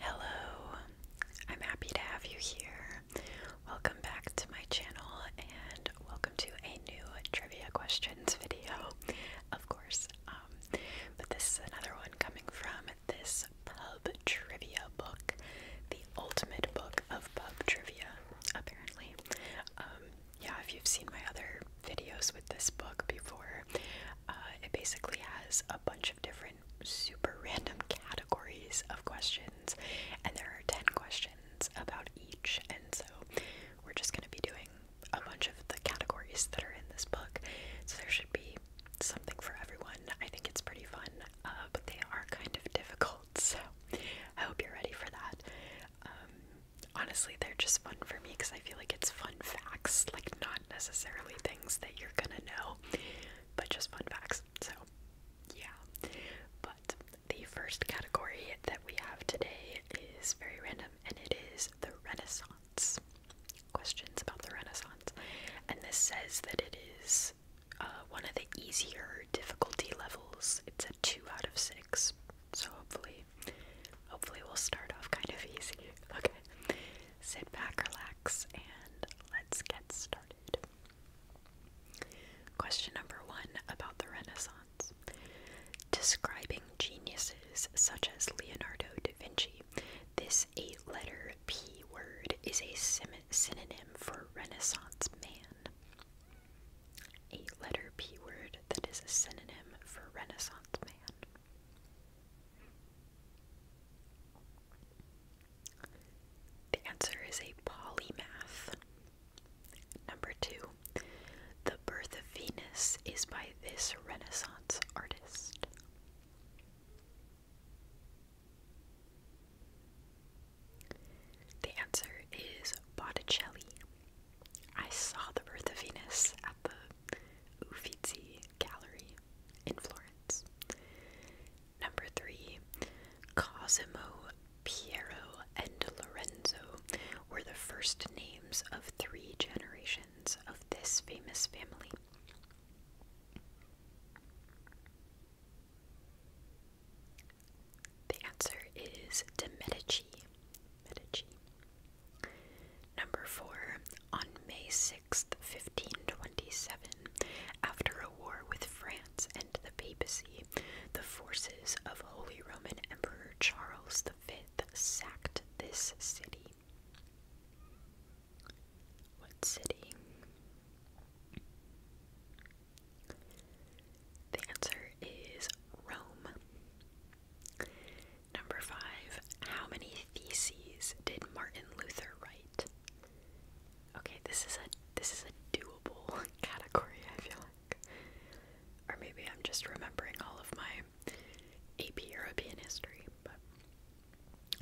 Hello, I'm happy to have you here. Welcome back to my channel and welcome to a new trivia questions video, of course. Um, but this is another one coming from this pub trivia book, the ultimate book of pub trivia, apparently. Um, yeah, if you've seen my other videos with this book before, uh, it basically has a bunch of different super random categories of questions, and there are 10 questions about each. And so we're just going to be doing a bunch of the categories that are in this book. So there should be something for everyone. I think it's pretty fun, uh, but they are kind of difficult. So I hope you're ready for that. Um, honestly, they're just fun for me because I feel like it's fun facts, like not necessarily things that you're gonna know, but just fun facts. So, yeah. But the first category that we have today is very random and it is the Renaissance. Questions about the Renaissance. And this says that it is uh, one of the easier difficulty levels. It's a 2 out of 6. So, hopefully, hopefully, we'll start off kind of easy. Okay. Sit back, relax and let's get started. Question number one about the Renaissance. Describing geniuses such as Leonardo da Vinci, this eight letter P word is a synonym for Renaissance man. Eight letter P word that is a synonym for Renaissance man. The answer is a polymath. Number two, The Birth of Venus is by this Renaissance artist. The answer is Botticelli. I saw The Birth of Venus at the the Uffizi Gallery in Florence. Number three, Cosimo, Piero, and Lorenzo were the first names of three generations of this famous family. The answer is de Medici. Medici. Number 4. On May sixth, fifteen 1527, after a war with France and the papacy, the forces of Holy Roman Emperor Charles V sacked this city. What city? The answer is Rome. Number 5. How many theses did Martin Luther write? Okay, this is a this is a doable category, I feel like. Or maybe I'm just remembering all of my AP European history, but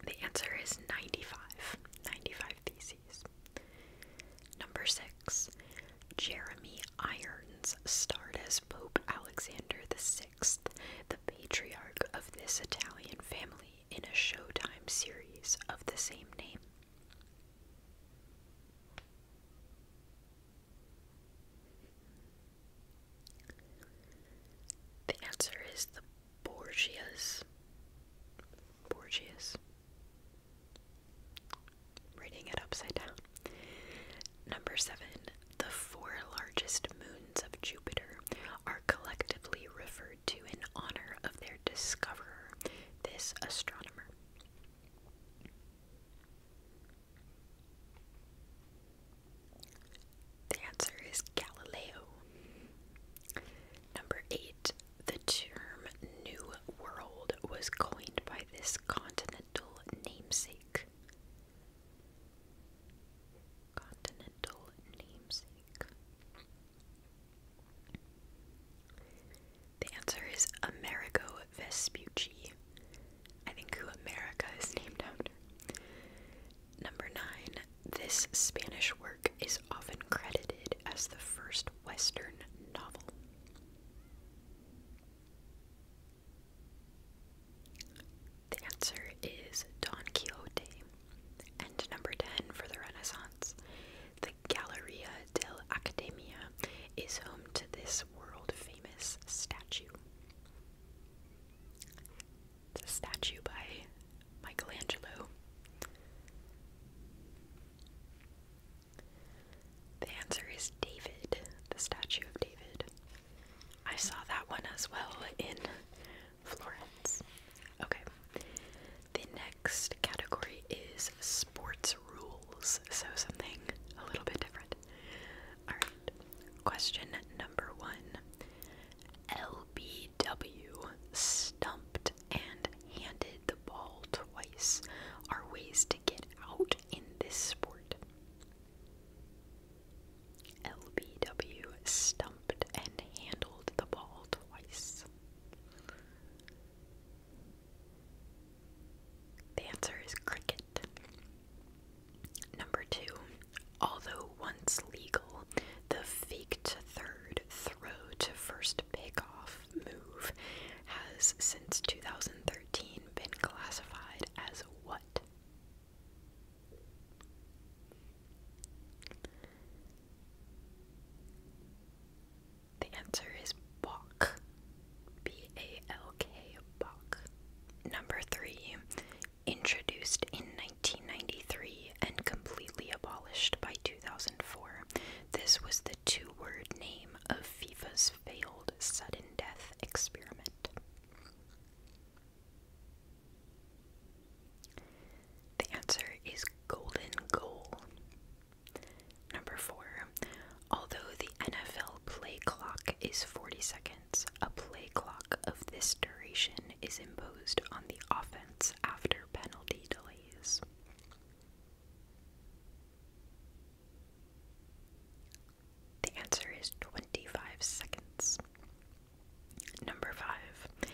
the answer is 95. 95 theses. Number 6. Jeremy Irons starred as Pope Alexander the Sixth, the patriarch of this Italian family in a Showtime series of the same name. The answer is the Borgias. Borgias. reading it upside down. Number seven, the four largest moon of Jupiter are collectively referred to in honor of their discoverer, this astronomer. The answer is Galileo. Number eight, the term New World was coined by this continental namesake continental namesake? The answer is Amerigo Vespucci. I think who America is named after. Number nine, this Spanish work is often credited as the first Western novel. The answer is Don Quixote. And number 10 for the Renaissance. The Galleria dell'Accademia is home to this world famous statue. The statue by Michelangelo. The answer is David, the statue of David. I saw that one as well in Florence. Okay. The next category is sports rules, so something a little bit different. Alright, question number one LBW, stumped and handed the ball twice, are ways to get out in this sport. LBW stumped and handled the ball twice. The answer is cricket. Number two, although once legal, the fake to third, throw to first pickoff move has since 2013 been classified as what? The answer is balk. B A L K balk. Number 3, introduced in 1993 and completely abolished by 2004. This was the two-word name of FIFA's failed sudden death experiment. The answer is golden goal. Number four, although the NFL play clock is 40 seconds, a play clock of this duration is imposed on the offense after penalty delays. The answer is 25 seconds. Number 5.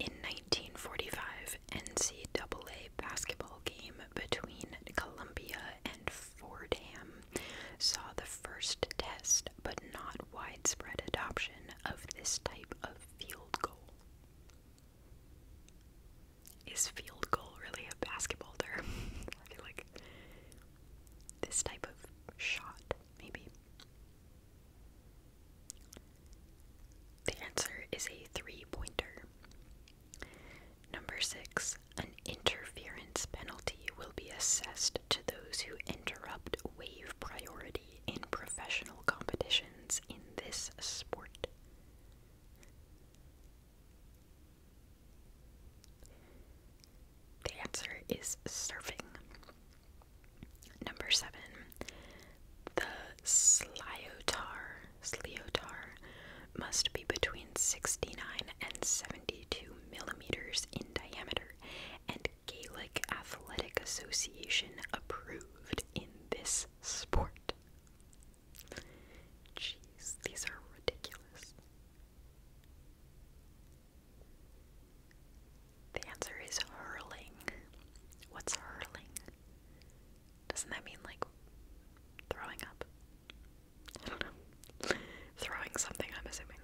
In 1945, NCAA basketball game between Columbia and Fordham saw the first test but not widespread adoption of this type of field goal. Is field goal really a basketball term? I feel like this type of shot, maybe. The answer is a three pointer. Number six, an interference penalty will be assessed to those who interrupt wave priority in professional competitions in this sport. The answer is surfing. Number seven, the Sliotar, Sliotar must be between 69 and 72 millimeters in diameter, and Gaelic Athletic Association approved in this sport. Jeez, these are ridiculous. The answer is hurling. What's hurling? Doesn't that mean like throwing up? I don't know. throwing something, I'm assuming.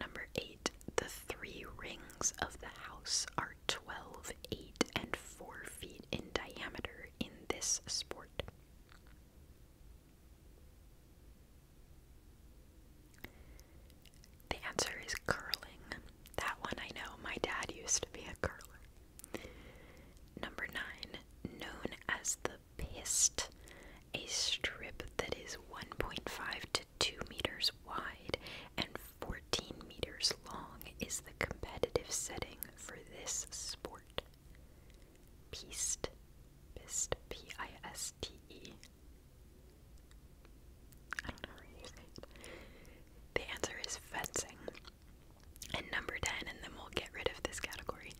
Number eight, the three rings of the house are twelve, eight, and 4 feet in diameter in this sport. The answer is curling. That one I know. My dad used to be a curler. Number nine, known as the pist, a strip that is 1.5 to 2 meters wide and 14 meters long, is the competitive setting for this sport. Pist, pist, P I S T E. The answer is fencing. And number 10, and then we'll get rid of this category.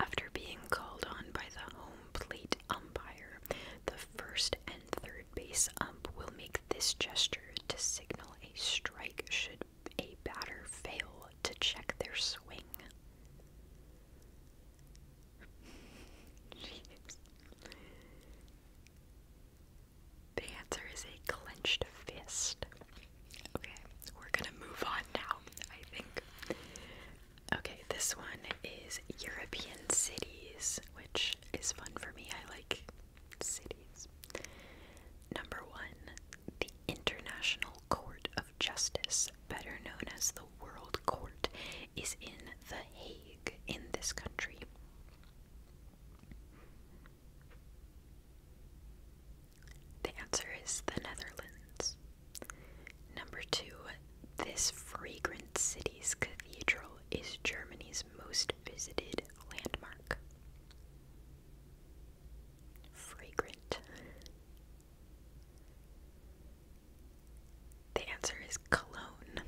After being called on by the home plate umpire, the first and third base ump will make this gesture to signal a strike should a batter fail to check their swing. The answer is a clenched fist. Okay, we're gonna move on now, I think. Okay, this one is European cities, which is fun for me. I like cities. Number one, the International Court of Justice better known as the World Court, is in The Hague in this country. The answer is the Netherlands. Number two, this fragrant city's cathedral is Germany's most visited landmark. Fragrant. The answer is Cologne.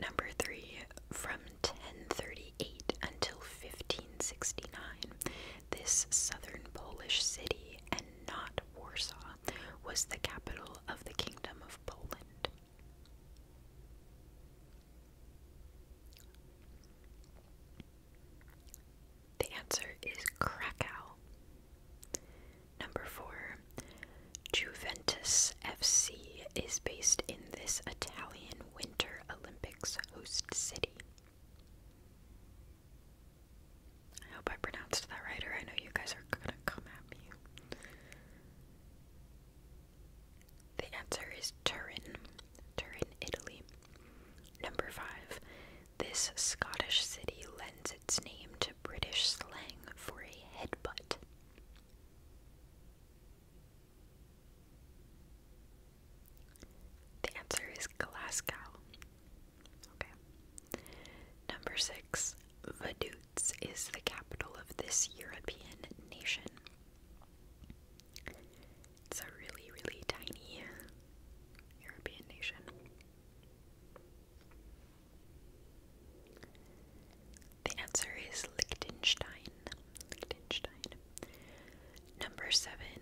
Number three, from 1038 until 1569, this southern Polish city, and not Warsaw, was the capital of the Kingdom of Poland. The answer is Krakow. Number 4. Juventus FC is based in this Italian Winter Olympics host city. I hope I pronounced that right, or I know you guys are gonna come at me. The answer is Turin, Turin, Italy. Number 5. This Scottish city lends its name to. British slang for a headbutt? The answer is Glasgow. Okay. Number six, Vaduz is the capital of this European nation. It's a really, really tiny European nation. The answer is Liechtenstein. Liechtenstein. Number seven,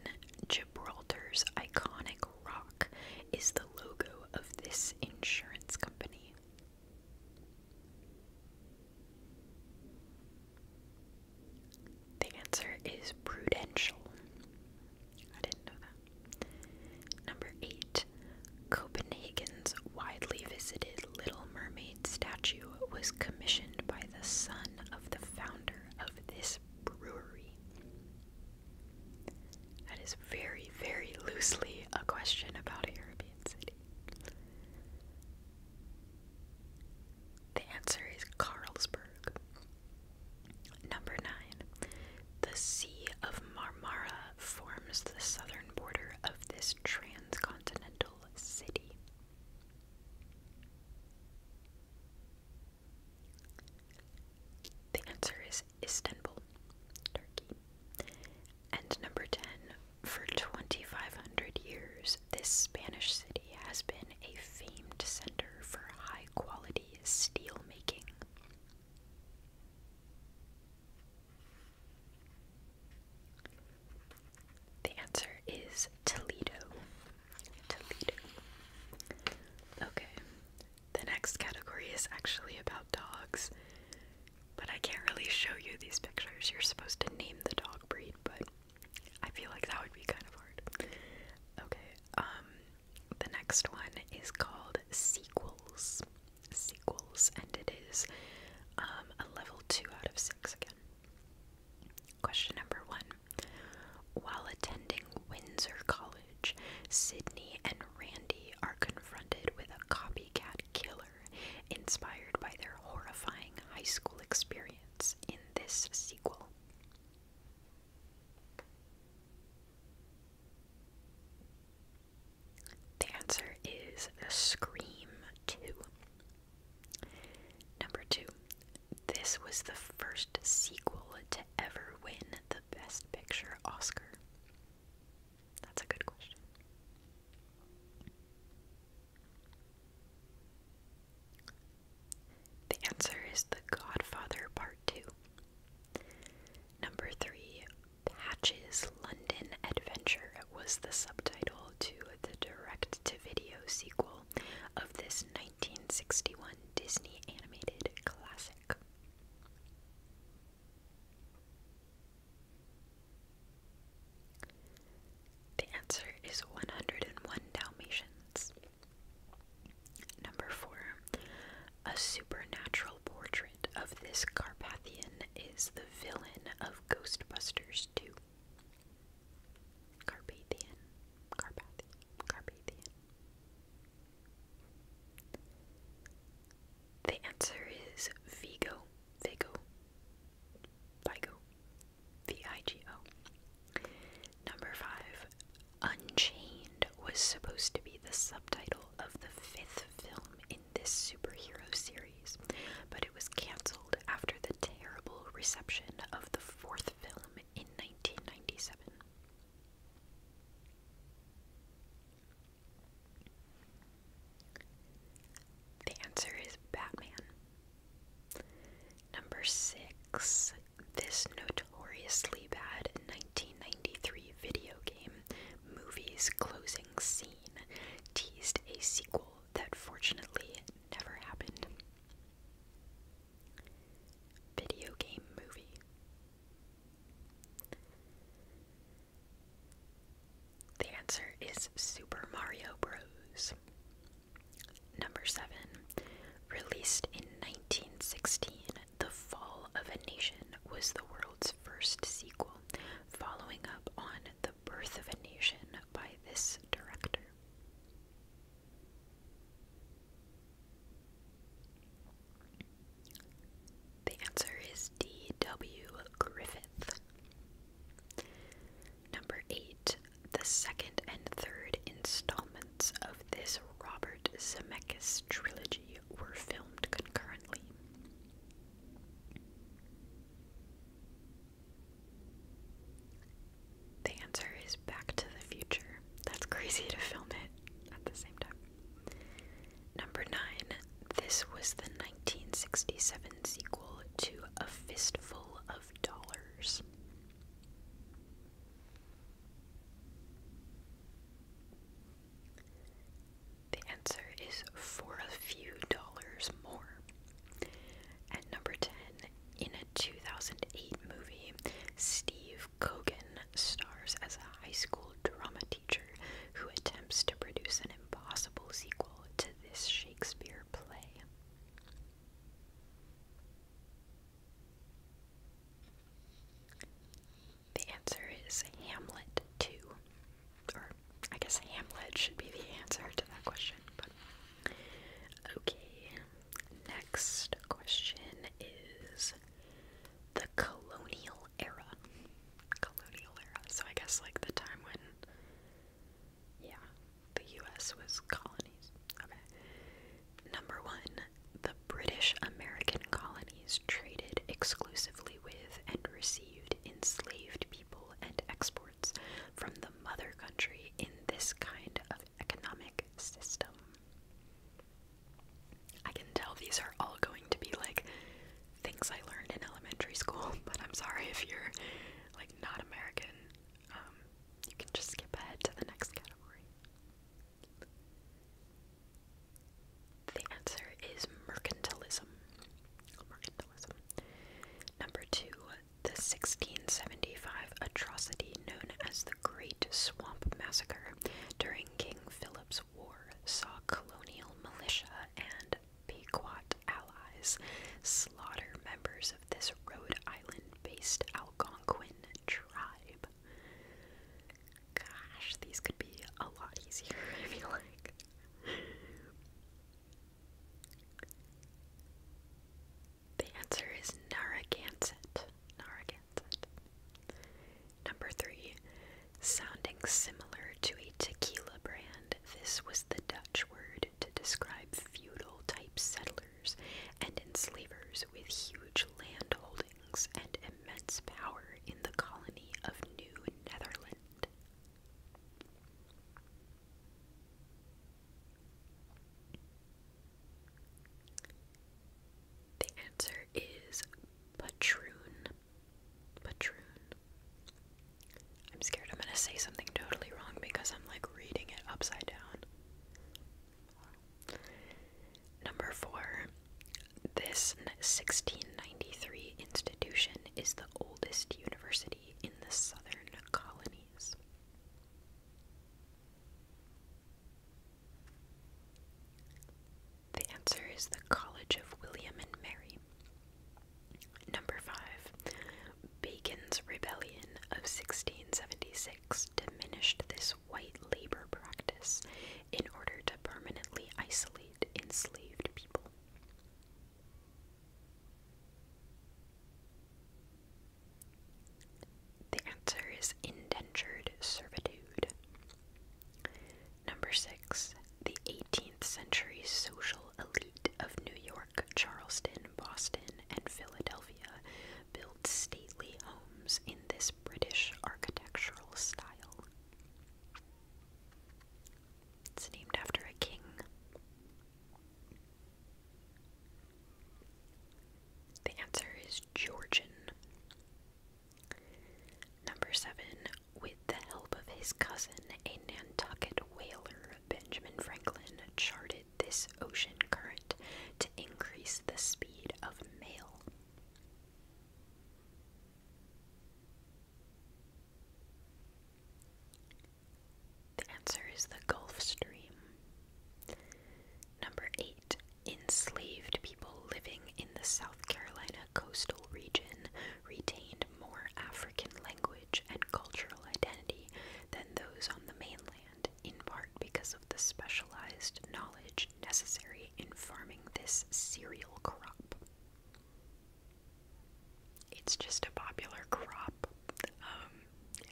Gibraltar's iconic rock is the logo of this insurance company. The answer is Prudential. I didn't know that. Number 8. Copenhagen's widely visited Little Mermaid statue was commissioned by the son of the founder of this brewery. That is very, very loosely a question about a European City. The answer is Carlsberg. Number 9. The Sea of Marmara forms the southern border of this transcontinental city. The answer is Istanbul, Turkey. And number 10. For 2,500 years, this Spanish city has been a famed center for high quality steel making. The answer is Toledo. Toledo. Okay, the next category is actually about dogs, but I can't really show you these pictures. You're supposed to name the dog breed, but I feel like that would be kind of hard. Okay, um, the next one is called Sequels. Sequels, and it is um, a level 2 out of 6 again. Question number 1. While attending Windsor College, Sydney and Randy are confronted with a copycat killer inspired by their horrifying high school experience in this sequel. The answer is Scream 2. Number 2. This was the first sequel to ever win the Best Picture Oscar. That's a good question. The answer is The Godfather Part 2. Number three, Patch's London Adventure was the subtitle to the direct to video sequel of this 1961 Disney animated classic. The answer is 101 Dalmatians. Number four, a supernatural portrait of this Carpathian is the villain of Ghostbusters 2. Carpathian, Carpathian, Carpathian. The answer is Vigo, Vigo, Vigo, V I G O. Number five, Unchained was supposed to be the subtitle of the fifth film in this superhero series, but it was cancelled after the terrible reception of the fourth film in 1997. The answer is Batman. Number six. This notorious notoriously bad 1993 video game movie's closing scene teased a sequel that fortunately never happened. Video game movie. The answer is Super Mario Bros. Number 7. Released in 1916, the Fall of a Nation was the world's first sequel, following up on The Birth of a Nation by this director. The answer is D.W. Griffith. Number 8. The second and third installments of this Robert Zemeckis trilogy were filmed concurrently. The answer is Back to the Future. That's crazy to film it at the same time. Number 9. This was the 1967 sequel to A Fistful of Dollars. The answer is for a few dollars more. At number 10, in a 2008 movie, Steve Cogan stars as a high school drama teacher who attempts to produce an impossible sequel to this Shakespeare play. The answer is Hamlet 2. Or, I guess Hamlet should be the answer to that question. But. Okay, next question is the colonial era. Colonial era. So, I guess like the time when. Yeah, the US was colonies. Okay. Number one, the British American colonies traded exclusively with and received enslaved people and exports from the mother country in this kind of economic system. I can tell these are all going to be like things I learned in elementary school, but I'm sorry if you're like not American. Um, you can just skip ahead to the next category. The answer is mercantilism. Mercantilism. Number two, the 1675 atrocity known as the Great Swamp Massacre during King Philip's War saw colonial militia and Pequot allies slaughter members of this Rhode Island based Algonquin tribe. Gosh, these could be a lot easier, I feel like. The answer is Narragansett. Narragansett. Number three, sounding similar to a tequila brand, this was the Dutch word to describe feudal type settlers and enslavers with huge land holdings and immense power in the colony of New Netherland. The answer is patroon. Patroon. I'm scared I'm going to say something totally wrong because I'm like reading it upside down. Number four, this 1693 institution is the oldest university in the southern colonies. The answer is the College of William and Mary. Number five, Bacon's Rebellion of 1676 diminished this white labor practice in order to permanently isolate enslaved people. The answer is indentured servitude. Number six, the 18th century social elite of New York, Charleston, Boston, and Philadelphia built stately homes in in this British architectural style. It's named after a king. The answer is Georgian. Number seven, with the help of his cousin, a Nantucket whaler, Benjamin Franklin charted this ocean current to increase the speed of mail. The answer is the Gulf Stream. Number 8. Enslaved people living in the South Carolina coastal region retained more African language and cultural identity than those on the mainland, in part because of the specialized knowledge necessary in farming this cereal crop. It's just a popular crop. Um,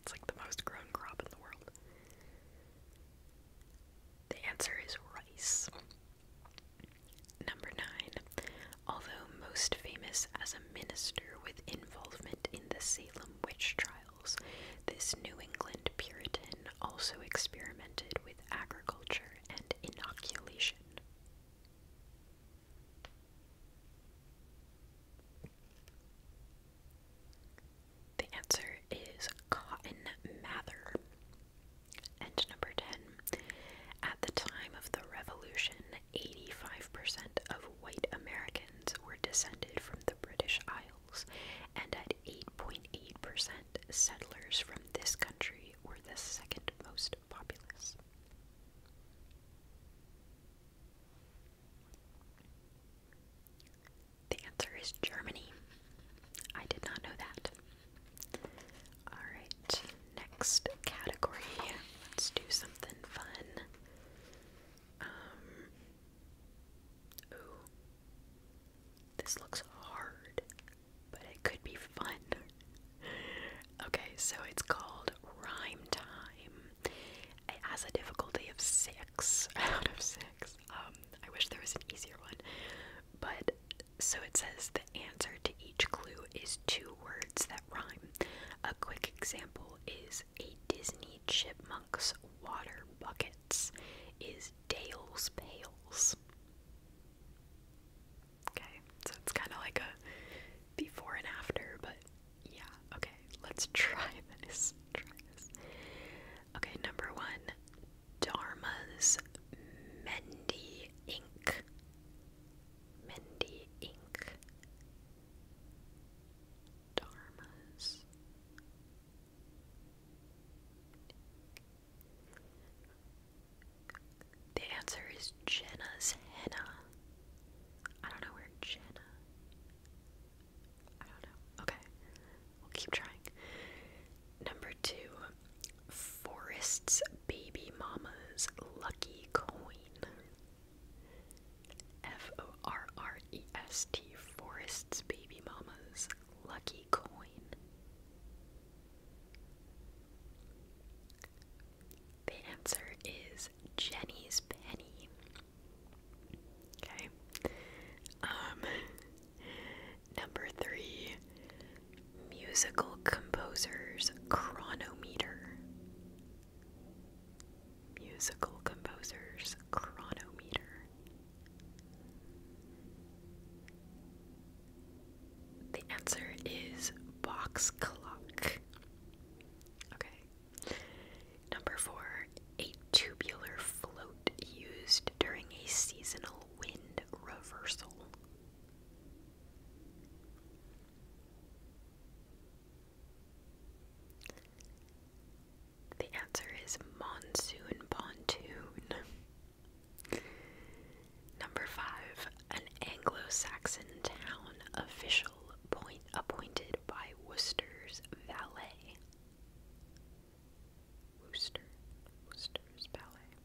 it's like the most grown crop in the world. The answer is rice. Number nine. Although most famous as a minister with involvement in the Salem witch trial this New England Puritan also experimented with agriculture and inoculation. The answer is Cotton Mather. And number 10. At the time of the Revolution, 85% of white Americans were descended from the British Isles and at 8.8 percent, settlers from this country were the second most populous. The answer is Germany. I did not know that. Alright, next category. Let's do something fun. Um, Ooh. This looks hard, but it could be fun. okay, so it's called Rhyme Time. It has a difficulty of six out of six. Um, I wish there was an easier one. But so it says the answer to each clue is two words that rhyme. A quick example is a Disney chipmunk's water buckets is Dale's Pales. Okay, so it's kind of like a before and after, but yeah, okay, let's try this. Okay, number one Dharma's Mendy Inc. Mendy Inc. Dharma's the answer is Jenna's henna. I don't know where Jenna. I don't know. Okay. We'll keep trying. Number two, Forest's Baby Mama's Lucky Coin. F O R R E S T, Forest's Baby Mama's Lucky coin. The answer is Jenny's penny. Okay. Um number 3 musical composers chronometer. Musical composers chronometer. The answer is box clock. Okay. Number four, a tubular float used during a seasonal wind reversal. The answer is monsoon pontoon. Number five, an Anglo Saxon town official point appointed by Worcester's valet. Worcester, Worcester's valet.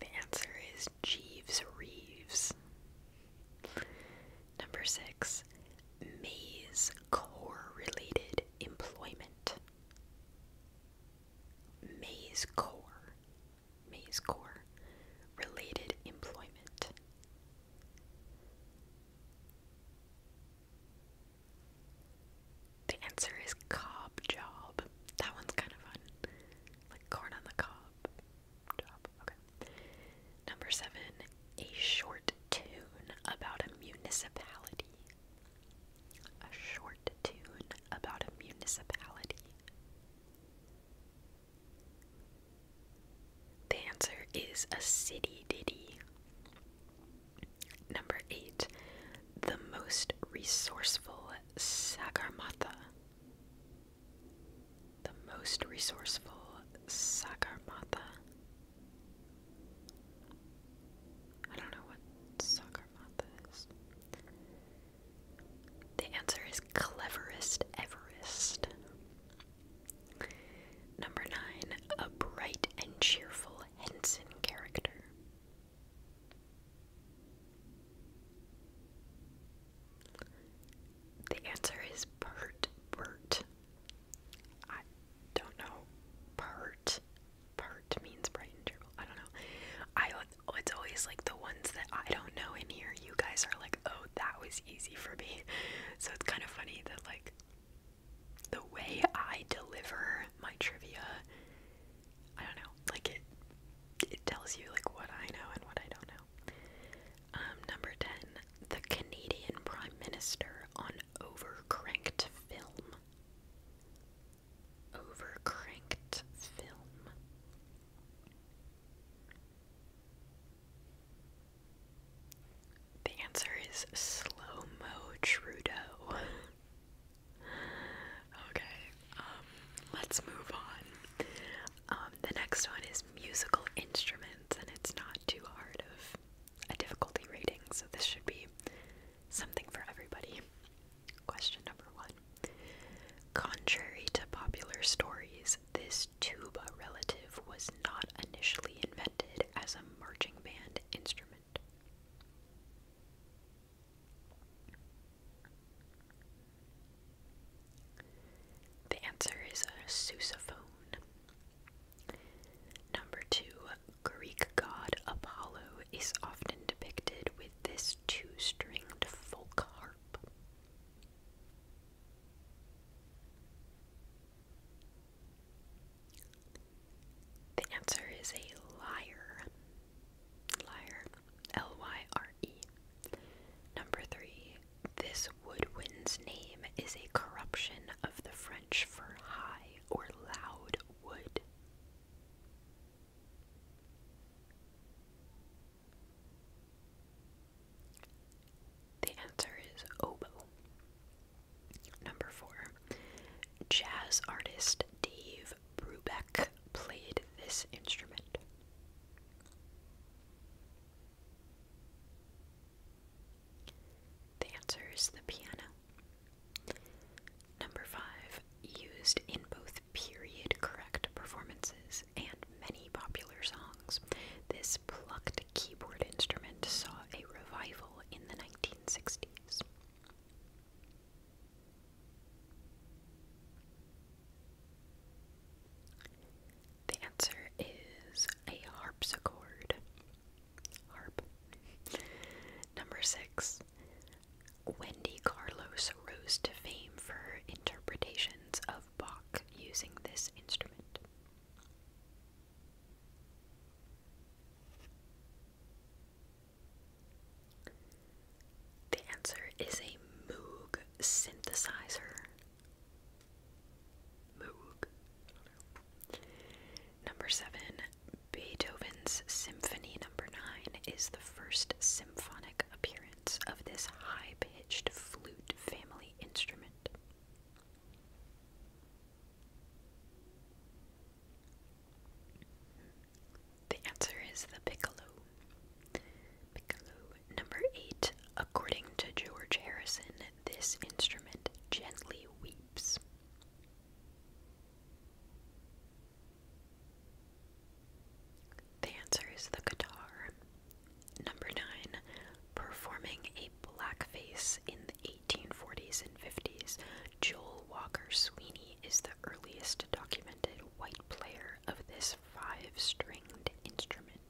The answer is Jeeves Reeves. Number six, maize core related employment. Maize core, maize core related employment. The answer is cob job. That one's kind of fun. Like corn on the cob job. Okay. Number seven, a short tune about a municipality. A short tune about a municipality. The answer is a city ditty. Number eight, the most resourceful Sagarmatha the most resourceful Sagarmatha. I don't know what Sagarmatha is. The answer is cleverest Everest. Number nine, a bright and cheerful Henson character. The answer is Bert Bert. I don't know. Pert. Pert means bright and cheerful. I don't know. I it's always like the ones that I don't know in here. You guys are like, oh, that was easy for me. So it's kind of funny that like the way I deliver my trivia, I don't know, like it it tells you like what I know and what I don't know. Um, number 10. The Canadian Prime Minister on overcranked film. Overcranked film. The answer is slow mo Trudeau. okay, um, let's move on. Um, the next one is musical instruments and it's not too hard of a difficulty rating, so this should be something for everybody. Question number one. Contrary to popular stories, this tuba relative was not initially invented as a marching band instrument. The answer is a sousaphone. Number two, Greek god Apollo is often depicted with this two stringed folk harp. The answer is a lyre. Lyre. L Y R E. Number three, this woodwind's name is a corruption of the French for high or loud wood. The answer is oboe. Number four. Jazz artist Dave Brubeck played this instrument. The answer is the piano. Number five, used in both period correct performances and many popular songs, this plucked keyboard instrument saw a revival in the 1960s. The answer is a harpsichord. Harp. Number six. Wendy Carlos rose to fame for her interpretations of Bach using this instrument. The answer is a Moog synthesizer. Number seven, Beethoven's Symphony Number Nine is the first symphonic appearance of this high-pitched flute family instrument. The answer is the piccolo. Piccolo number eight, according to George Harrison, this instrument gently weeps. The answer is the guitar. Number nine, performing a blackface in the 1840s and 50s, Joel Walker Sweeney is the earliest documented white player of this five stringed instrument.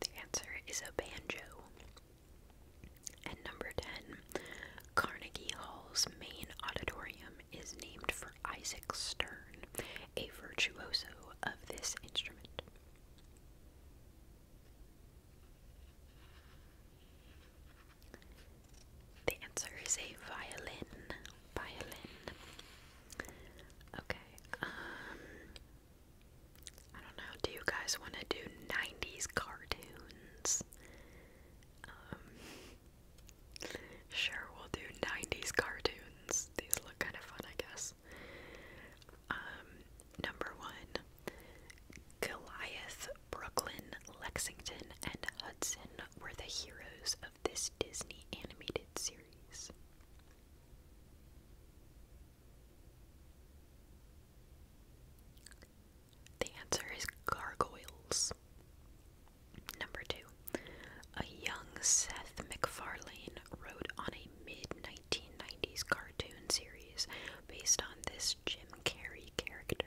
The answer is a banjo. And number 10, Carnegie Hall's main auditorium is named for Isaac Stern, a virtuoso of this instrument. The answer is a violin. Violin. Okay. Um, I don't know. Do you guys want to do 90s cartoons? Um, sure, we'll do 90s cartoons. These look kind of fun, I guess. Um, number 1. Goliath, Brooklyn, Lexington, and Hudson were the heroes of this Disney animated series. The answer is gargoyles. Number two. A young Seth MacFarlane wrote on a mid 1990s cartoon series based on this Jim Carrey character.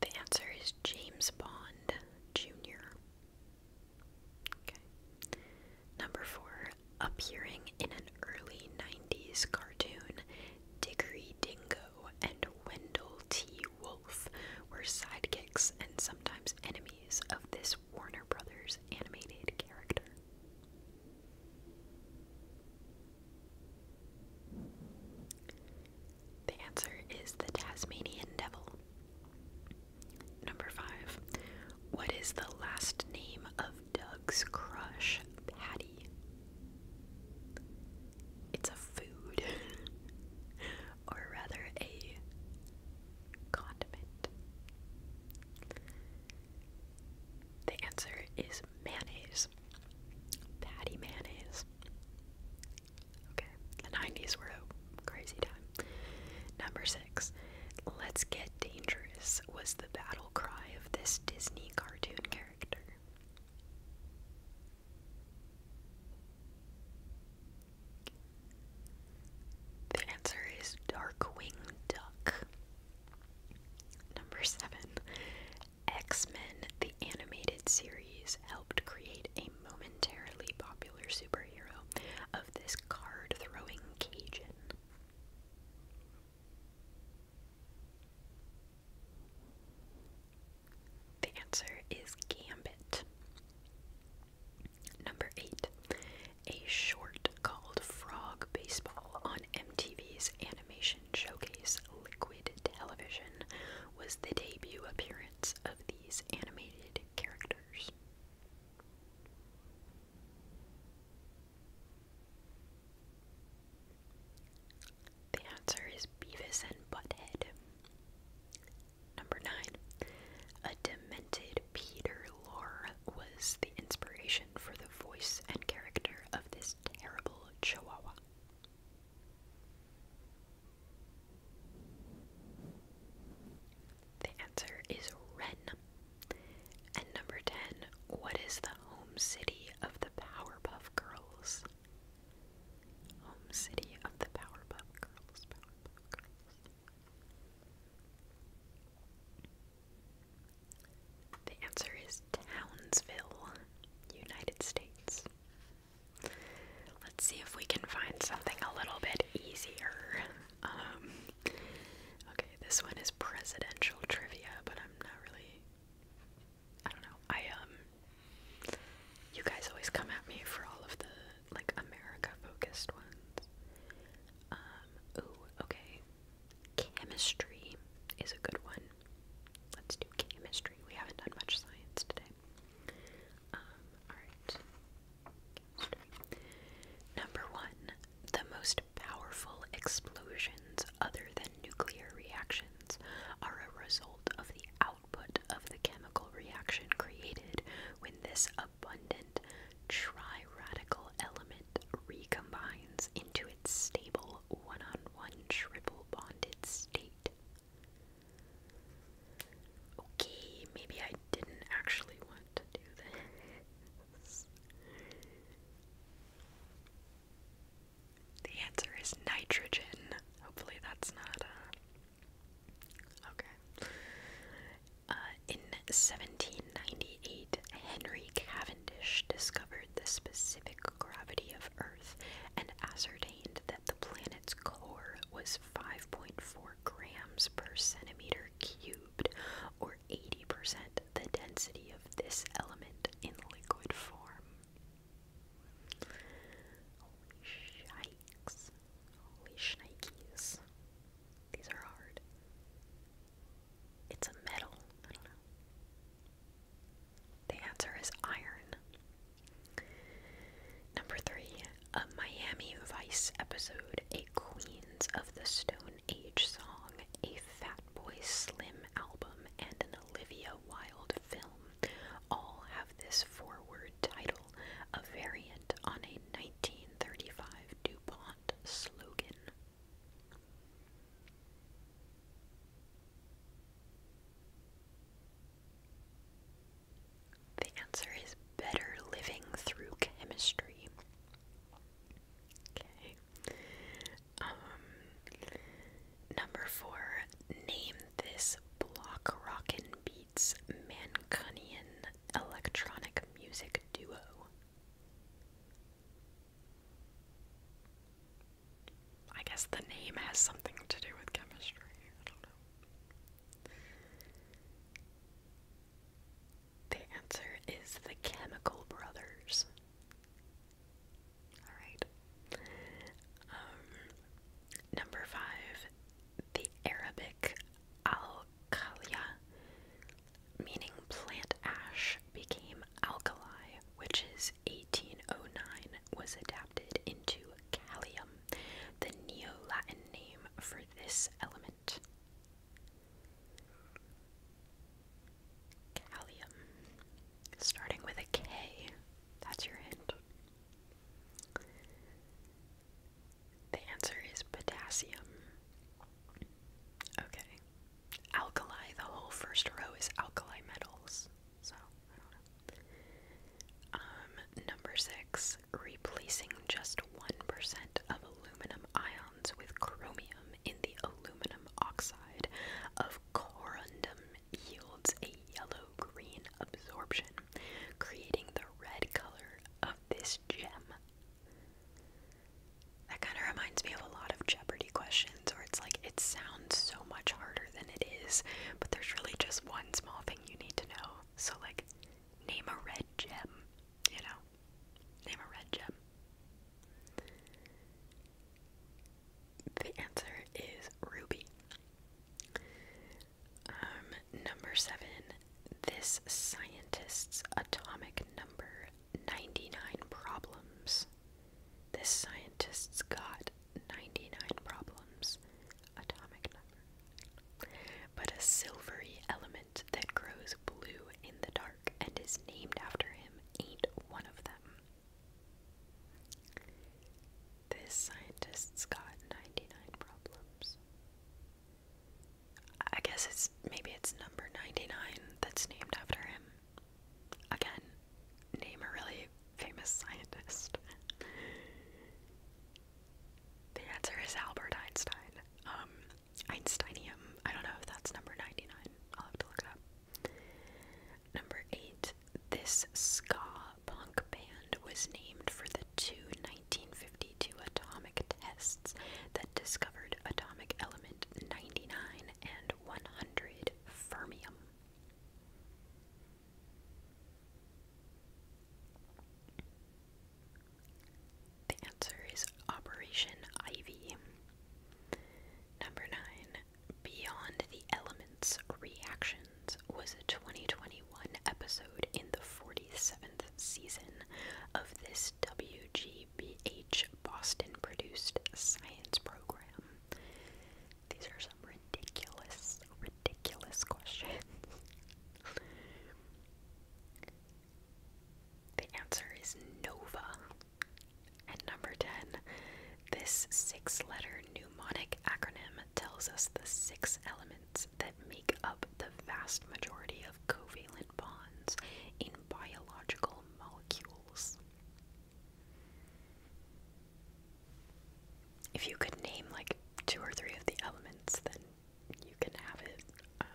The answer is James Bond Jr. Okay. Number four, appearing in an early 90s cartoon, Diggory Dingo and Wendell T. Wolf were sidekicks and sometimes enemies of this Warner Brothers animated character. The answer is the Tasmanian devil. Number five. What is the last name of Doug's crush, Patty? It's a food, or rather, a condiment. The answer is mayonnaise mayonnaise. Patty mayonnaise. Okay, the 90s were a crazy time. Number six, Let's Get Dangerous was the battle cry of this Disney cartoon character. The answer is Darkwing Duck. Number seven, X Men, the animated series, helped create a momentarily popular superhero of this card throwing Cajun. The answer is Gambit. Number 8. A short called Frog Baseball on MTV's animation showcase Liquid Television was the debut appearance of these animated characters. The answer is Beavis and Butthead. Number 9. A demented Peter Lorre was the inspiration for the voice and character of this terrible chihuahua. The answer is Ren. And number 10, what is the home city of the Powerpuff Girls? Home city of the Powerpuff Girls. The answer is Townsville, United States. Let's see if we can find something a little bit easier. Um, okay, this one is presidential trivia, but I'm not really. I don't know. I, um. You guys always come at me for all of the, like, America focused ones. Um, ooh, okay. Chemistry is a good one. Let's do chemistry. We haven't done much science today. Um, alright. Number one, the most powerful explosions other than nuclear reactions are a result of the output of the chemical reaction created when this abundant triradical element recombines into its stable one on one triple bonded state. Okay, maybe I didn't actually want to do this. The answer is nitrogen. Hopefully, that's not uh, Okay. Uh, in 1798, Henry Cavendish discovered the specific gravity of Earth and ascertained that the planet's core was 5.4 grams per centimeter cubed, or 80% the density of this element in liquid form. Holy shikes. Holy shnikes. These are hard. It's a metal. The answer is iron. Number three, a Miami Vice episode, a Queens of the Stone Age song, a Fatboy Slim album, and an Olivia Wilde film all have this forward title, a variant on a 1935 DuPont slogan. The answer is better living through chemistry. Okay. Um, number four, name this block rockin' beats Mancunian electronic music duo. I guess the name has something to do with chemistry. The answer is the Chemical Brothers. Alright. Um, number five, the Arabic al-kalia, meaning plant ash, became alkali, which is 1809 was adapted into callium, the Neo Latin name for this element. Callium. Starting with a K, that's your hint. The answer is potassium. Okay. Alkali, the whole first row is alkali metals. So, um, number six, replacing just 1% of aluminum ions with chromium in the aluminum oxide of corundum yields a yellow green absorption, creating the red color of this gem. That kind of reminds me of a lot of Jeopardy questions or it's like it sounds so much harder than it is, but there's really just one small thing you need to know. So like name a red gem, you know. Name a red gem. The answer is ruby. Um, number seven. This scientist's atomic number 99 problems. This scientist's got 99 problems, atomic number, but a silvery element that grows blue in the dark and is named after him ain't one of them. This scientist's got 99 problems. I guess it's maybe it's number 99 that's named after him. Again, name a really famous scientist. the answer is Albert Einstein. Um, Einsteinium. I don't know if that's number 99. I'll have to look it up. Number 8. This ska punk band was named for the two 1952 atomic tests that discovered atomic element 99 and 100 fermium. The answer is Operation Ivy. Number 9. Beyond the Elements Reactions was a 2021 episode in the 47th season of this WGBH Boston produced science program. These are some ridiculous, ridiculous questions. the answer is Nova. And number 10, this six letter mnemonic acronym tells us the six elements that make up the vast majority of covalent bonds in biological molecules. If you could name like two or three of the elements, then you can have it. Um,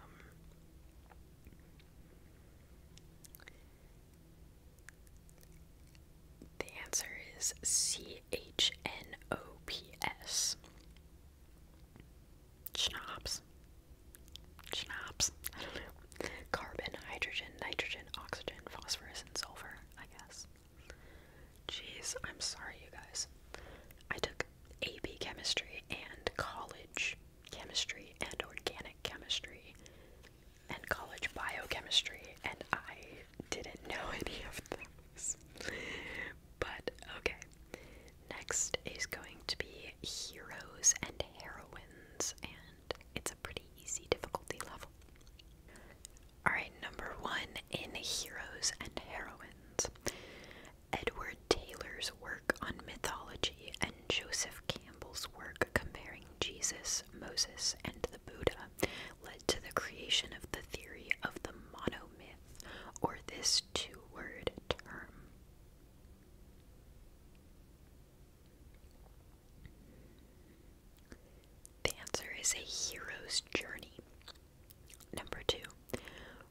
the answer is C H N O P S. Schnapps. Schnapps. I don't know. Carbon, hydrogen, nitrogen, oxygen, phosphorus, and sulfur, I guess. Geez, I'm sorry, you guys. I took AP chemistry and college chemistry and organic chemistry and college biochemistry, and I didn't know any of those. But okay. Next is going to be heroes and heroines, and it's pretty easy difficulty level. Alright, number one in Heroes and Heroines Edward Taylor's work on mythology and Joseph Campbell's work comparing Jesus, Moses, and the Buddha led to the creation of the theory of the monomyth, or this two word term. The answer is a hero's journey. Number two,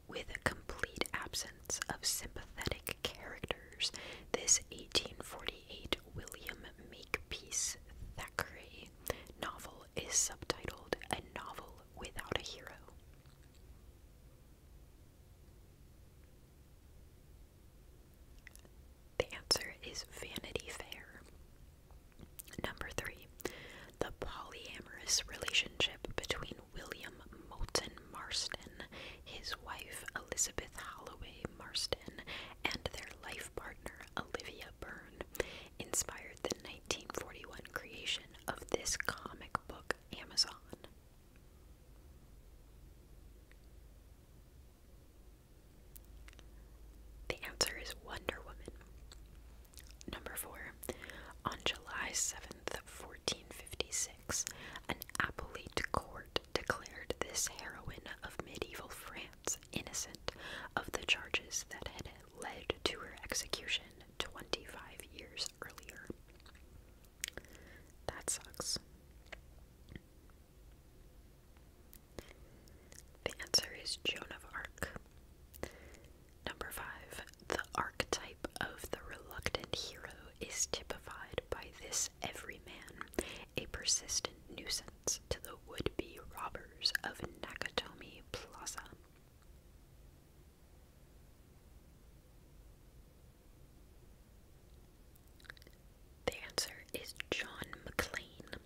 with a complete absence of sympathetic characters, this 1848 William Makepeace Thackeray novel is subtitled A Novel Without a Hero. The answer is Vanity Fair. Number three, the polyamorous relationship between William Moulton Marston, his wife Elizabeth Holloway Marston, and their life partner Olivia Burn inspired the 1941 creation of this comic book, Amazon. The answer is Wonder Woman. Number 4. On July 7th, 1456, an appellate court declared this heroine of medieval France innocent of the charges that had led to her execution 25 years earlier. That sucks. The answer is Joan of Arc. Number five, the archetype of the reluctant hero is typified by this everyman, a persistent nuisance to the would be robbers of Nakatomi Plaza. The answer is John McLean.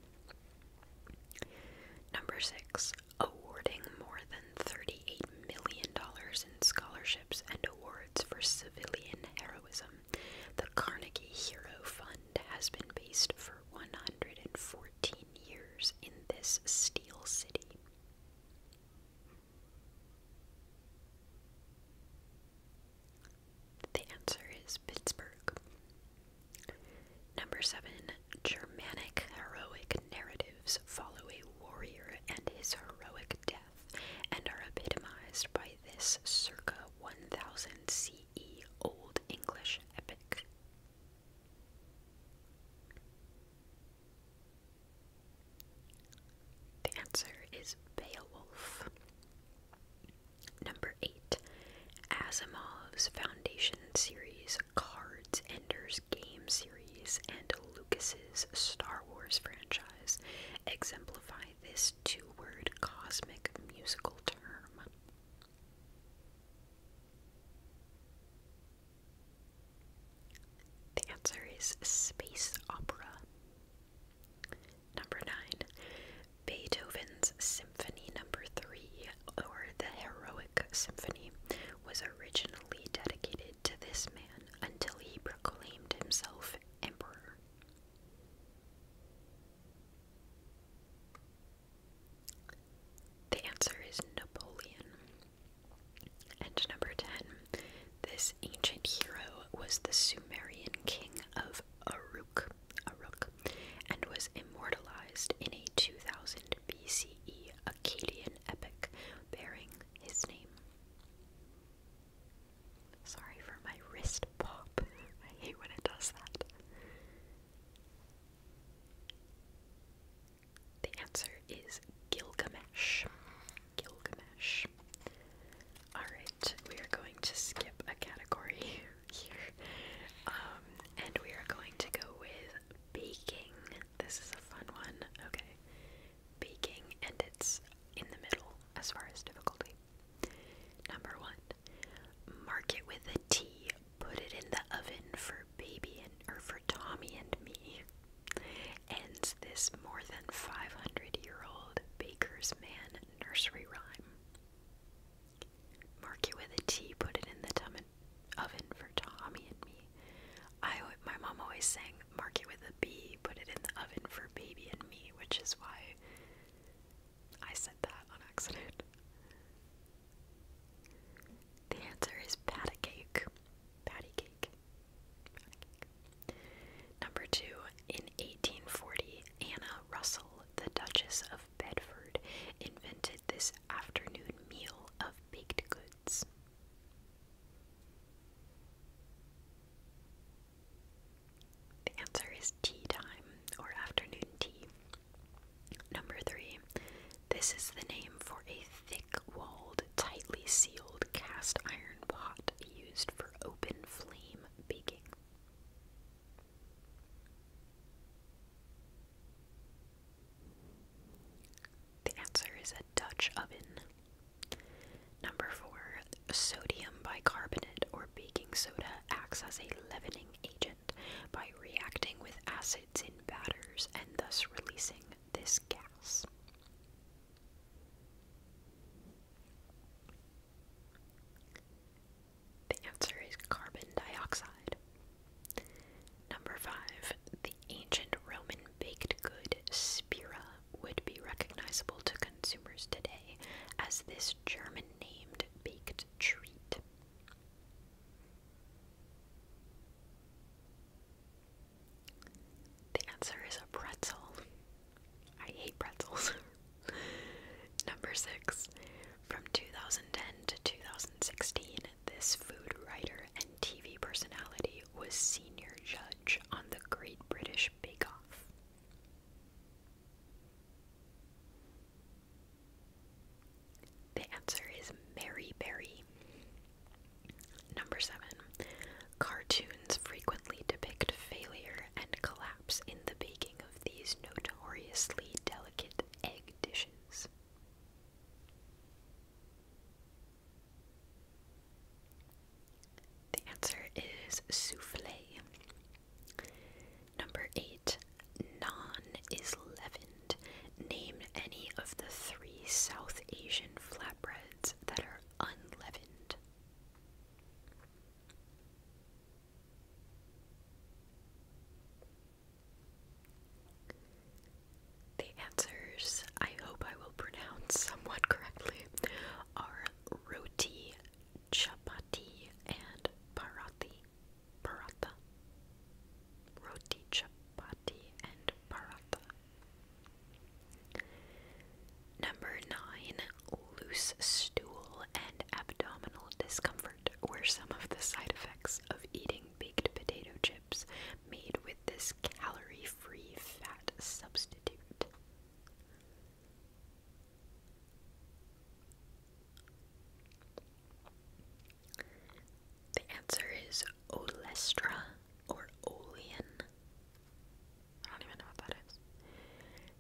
Number six, awarding more than $38 million in scholarships and awards for civilian heroism. The Carnegie Hero Fund has been based for 114 years in this steel city. The answer is Pittsburgh. Number seven, Germanic heroic narratives follow a warrior and his heroic death and are epitomized by this circa 1000 CE Old English epic. The answer is Beowulf. Number 8. Asimov's Foundation series, Cards, Ender's Game series, and Lucas's Star Wars franchise exemplify this two word cosmic musical term. The answer is space opera. Number 9. Beethoven's Symphony Number 3, or the Heroic Symphony, was originally dedicated to this man until he proclaimed himself emperor. The answer is Napoleon. And number 10. This ancient hero was the Sumerian king of of Uruk, and was immortalized in a 2000 BCE Akkadian epic bearing his name. Sorry for my wrist pop. I hate when it does that. The answer is Gilgamesh. Gilgamesh. Alright, we are going to skip a category here. Um, and we are going to go with baking. This is a fun one. Okay. Baking, and it's in the middle as far as difficulty. Number one, mark it with a T. Put it in the oven for baby and or for Tommy and me. Ends this more than 500 year old baker's man nursery rhyme. Mark it with a T, put it in the oven for Tommy and me. I, my mom always sang, mark it with a B, put it in the oven for baby and me, which is why I said that on accident. The answer is patty cake. Patty cake. Patty cake. Number two, in 1840, Anna Russell, the Duchess of Bedford, invented this afternoon meal of baked goods. The answer is tea time or afternoon tea. Number three, this is the name for a thick walled, tightly sealed cast iron pot used for open flame baking. The answer is a Dutch oven. Number four, sodium bicarbonate or baking soda acts as a leavening agent by reacting with acids in batters and thus releasing this gas. The answer is carbon dioxide. Number five, the ancient Roman baked good spira would be recognizable to consumers today as this German named baked treat. The answer is a pretzel. I hate pretzels. Number six. From 2010 to 2016, this food writer and TV personality was senior judge on the Great British Bake Off. The answer is Mary Berry. Number seven. Cartoons frequently depict failure and collapse in the baking of these notoriously delicate egg dishes. The answer is souffle. Number eight, naan is leavened. Name any of the three South Asian flatbreads that are unleavened. The answers, I hope I will pronounce somewhat correctly, are roti, chapati, and parati. Paratha. Roti, chapati, and paratha. Number nine, loose stool and abdominal discomfort were some of the side effects of eating baked potato chips made with this calorie free fat substitute. The answer is olestra or olean. I don't even know what that is.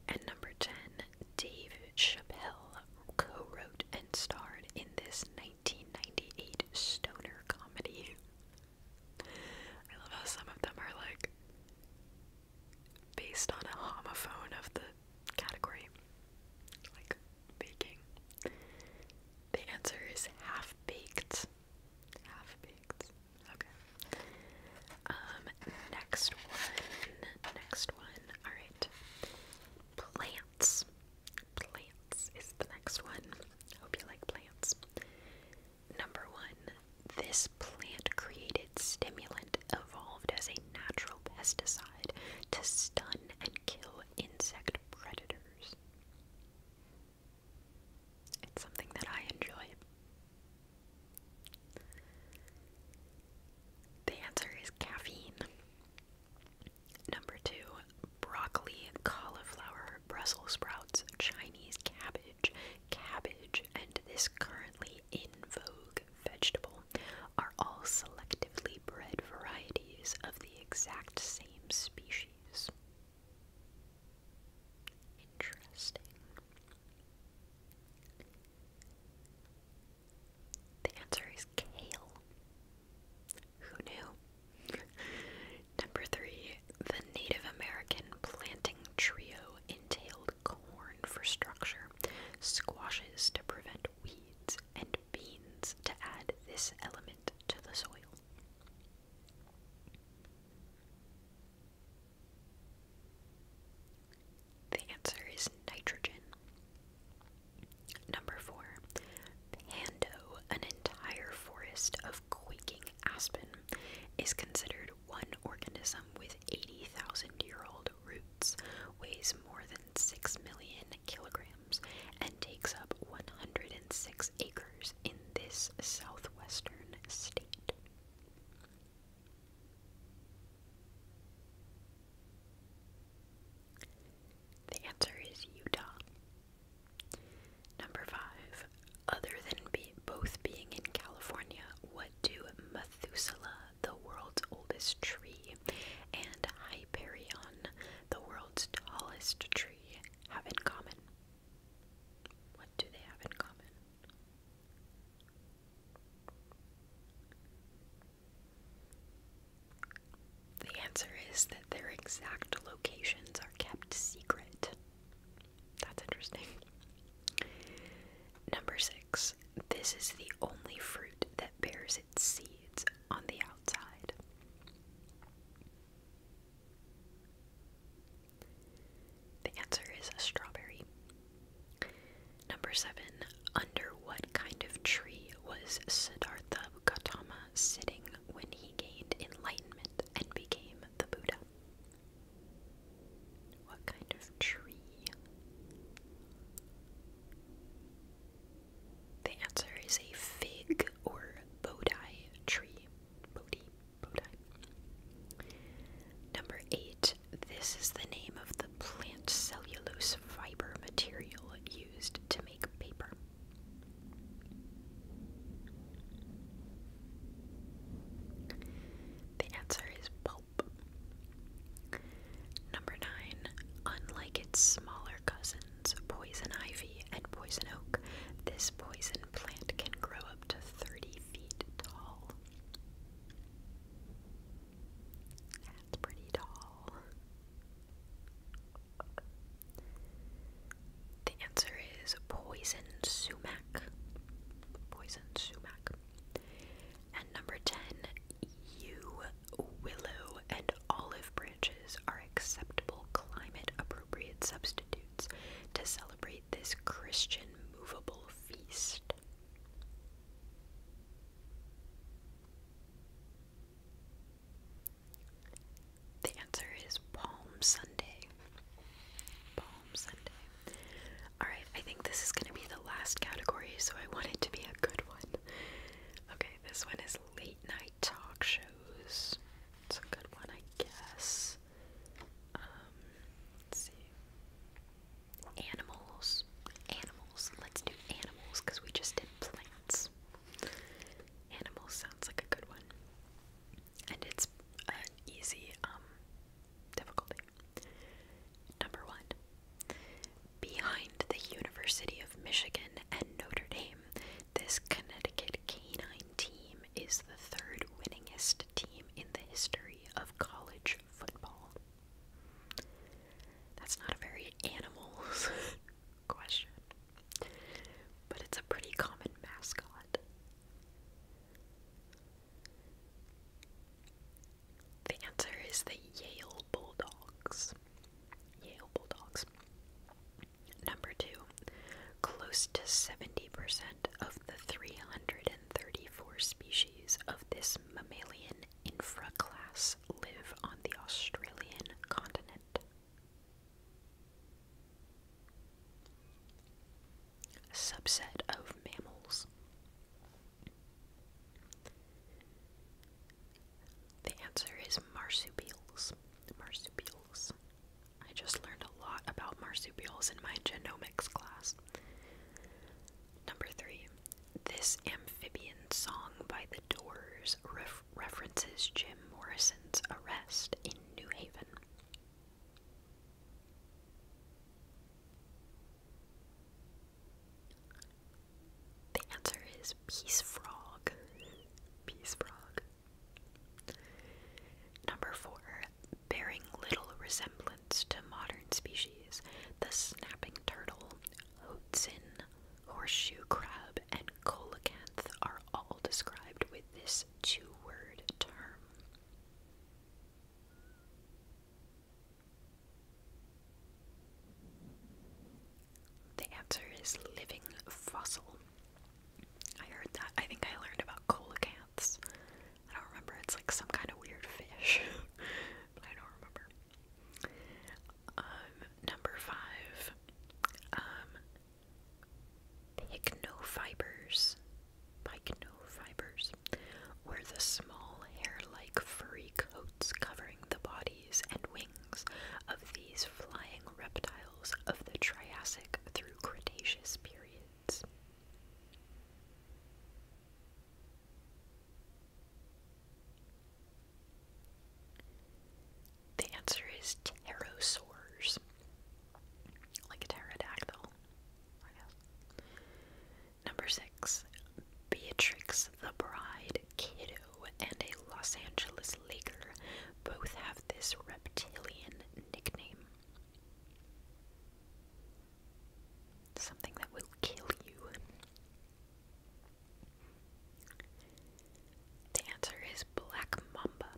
And number 10, Dave Chappelle co wrote and starred in this 1998 stoner comedy. I love how some of them are like based on a homophone of the category, like baking. The answer is half baked. Half baked. Okay. Um, next one. Next one. Alright. Plants. Plants is the next one. I Hope you like plants. Number one. This plant created stimulant evolved as a natural pesticide to stun and kill insect predators. It's something that I enjoy. The answer is caffeine. Number two, broccoli, cauliflower, Brussels sprouts, Chinese cabbage, cabbage, and this currently in vogue vegetable are all selectively bred varieties of the exact same species. Interesting. The answer is kale. Who knew? Number three, the Native American planting trio entailed corn for structure, squashes to prevent weeds, and beans to add this element to the soil. The answer is nitrogen. Number four, Pando, an entire forest of quaking aspen, is considered one organism with 80,000 year old roots, weighs more than 6 million kilograms, and takes up 106 acres in this southwestern state. The answer is Utah. Number five. Other than be both being in California, what do Methuselah, the world's oldest tree, and Hyperion, the world's tallest tree, have in common? What do they have in common? The answer is that their exact locations are kept secret. That's interesting. Number six, this is the only fruit that bears its seeds on the outside. The answer is a strawberry. Number seven, under what kind of tree was Siddhartha Gautama sitting when he gained enlightenment and became the Buddha? What kind of tree? The answer is a fig or bodhi tree. Bodhi. Number eight, this is the name of the plant cellulose fiber material used to make paper. The answer is pulp. Number nine, unlike its smaller cousins, poison ivy and poison oak, this poison plant can grow up to 30 feet tall. That's pretty tall. The answer is poison sumac. Poison sumac. And number 10, you willow, and olive branches are acceptable climate appropriate substitutes to celebrate this Christian movable feast. The answer is Palm Sunday. Palm Sunday. Alright, I think this is going to be the last category, so I want it to be a good one. Okay, this one is late night talk shows. It's a good one, I guess. Um, let's see. Animals. Animals. Let's do animals because we just did plants. Animals sounds like a good one. And it's an easy um difficulty. Number one. Behind the University of Michigan and Notre Dame, this Connecticut canine team is the third winningest team in the history of college football? That's not a very animals question, but it's a pretty common mascot. The answer is the Yale Bulldogs. Yale Bulldogs. Number two, close to 70% of the 334 species of this mammalian infraclass live on the Australian continent. subset of mammals. The answer is marsupials. Marsupials. I just learned a lot about marsupials in my genomics class. Number three, this amphibian song by The Doors references Jim Morrison's arrest in New Haven. The answer is Peace Frog. Peace Frog. Number four, bearing little resemblance to modern species, the snapping turtle, hoatzin, horseshoe crab, and coelacanth are all described with this two-word term. The answer is living fossil. I heard that. I think I learned about coelacanths I don't remember. It's like some kind of weird fish, but I don't remember. Um, number five, um, pycnofibers. Pycnofibers were the small hair-like furry coats covering the bodies and wings of these flying reptiles of the Triassic through Cretaceous period. The answer is pterosaurs. Like a pterodactyl, Number six, Beatrix the Bride Kiddo and a Los Angeles Laker both have this reptilian nickname. Something that will kill you. The answer is Black Mamba.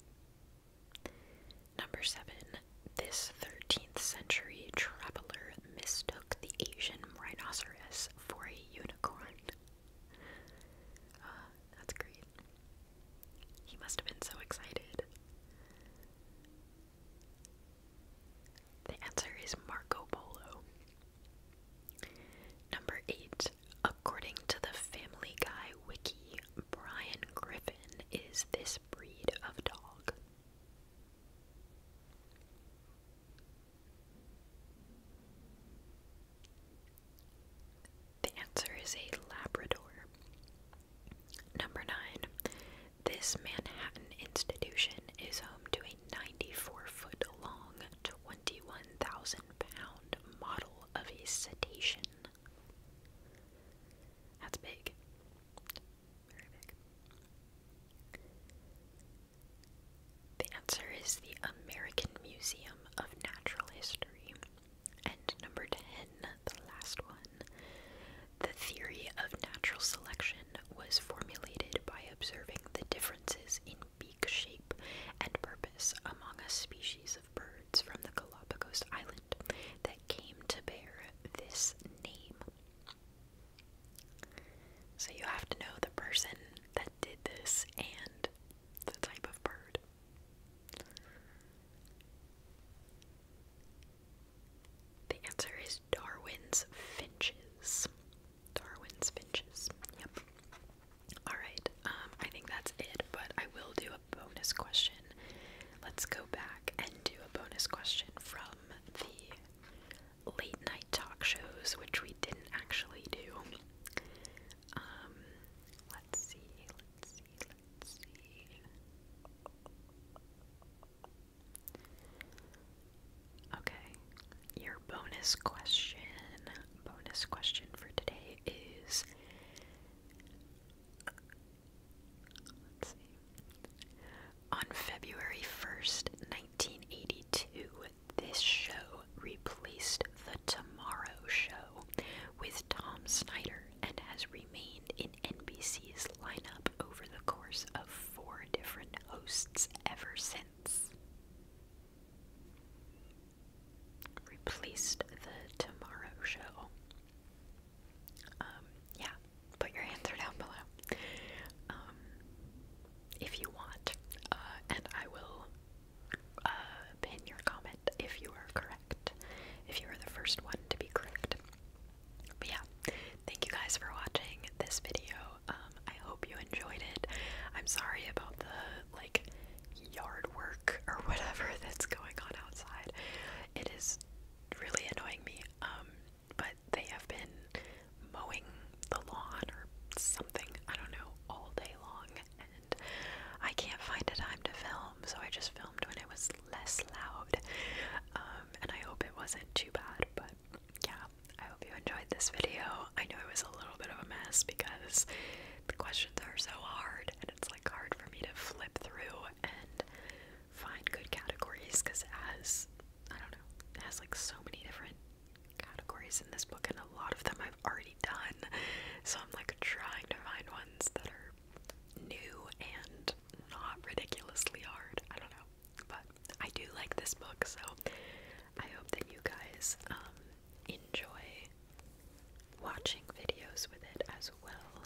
Number seven. This 13th century traveler mistook the Asian rhinoceros for a unicorn. Ah, that's great. He must have been so excited. The answer is Marco Polo. Number 8. According to the Family Guy wiki, Brian Griffin is this breed of dog. The answer is a Labrador. Number 9. This Manhattan institution is home to a 94 foot long, 21,000 pound model of a cetacean. That's big. Very big. The answer is the American Museum of Natural History. And number 10, the last one, the theory of natural selection was formulated by observing the differences in beak shape and purpose among a species of birds from the Galapagos Island that came to bear this name. So you have to know the person that did this and the type of bird. The answer is Darwin's finches. Darwin's finches. Yep. Alright, um, I think that's it, but I will do a bonus question. Let's go back and do a bonus question from the late night talk shows, which we didn't actually do. Um, let's see, let's see, let's see. Okay, your bonus question, bonus question for today is On February 1st, 1982, this show replaced The Tomorrow Show with Tom Snyder and has remained in NBC's lineup over the course of four different hosts ever since. Replaced the Tomorrow Show. Um, yeah, put your answer down below um, if you want, uh, and I will uh, pin your comment if you are correct, if you are the first one to be correct. But yeah, thank you guys for watching this video. Um, I hope you enjoyed it. I'm sorry about the like yard work or whatever that's going on outside. It is really annoying me. Um, but they have been mowing the lawn or something, I don't know, all day long and I can't find a time to film, so I just filmed when I was less loud. Um, and I hope it wasn't too bad, but yeah, I hope you enjoyed this video. I know it was a little bit of a mess because the questions are so hard, and it's like hard for me to flip through and find good categories because as I don't know, it has like so many different categories in this book, and a lot of them I've already done. So I'm like trying to find ones that are new and not ridiculously hard. I don't know. But I do like this book, so I hope that you guys um, enjoy watching videos with it as well.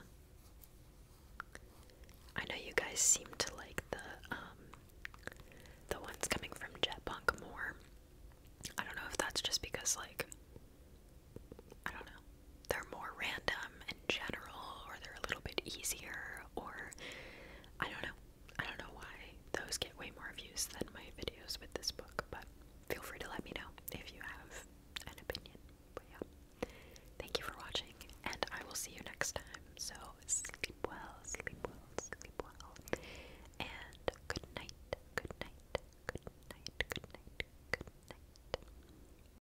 I know you guys seem to like the um, the ones coming from Jetpunk more. I don't know if that's just because like I don't know, they're more random in general, or they're a little bit easier, or I don't know. I don't know why those get way more views than my videos with this book, but feel free to let me know if you have an opinion. But yeah, thank you for watching, and I will see you next time. So sleep well, sleep well, sleep well, and good night, good night, good night, good night, good night.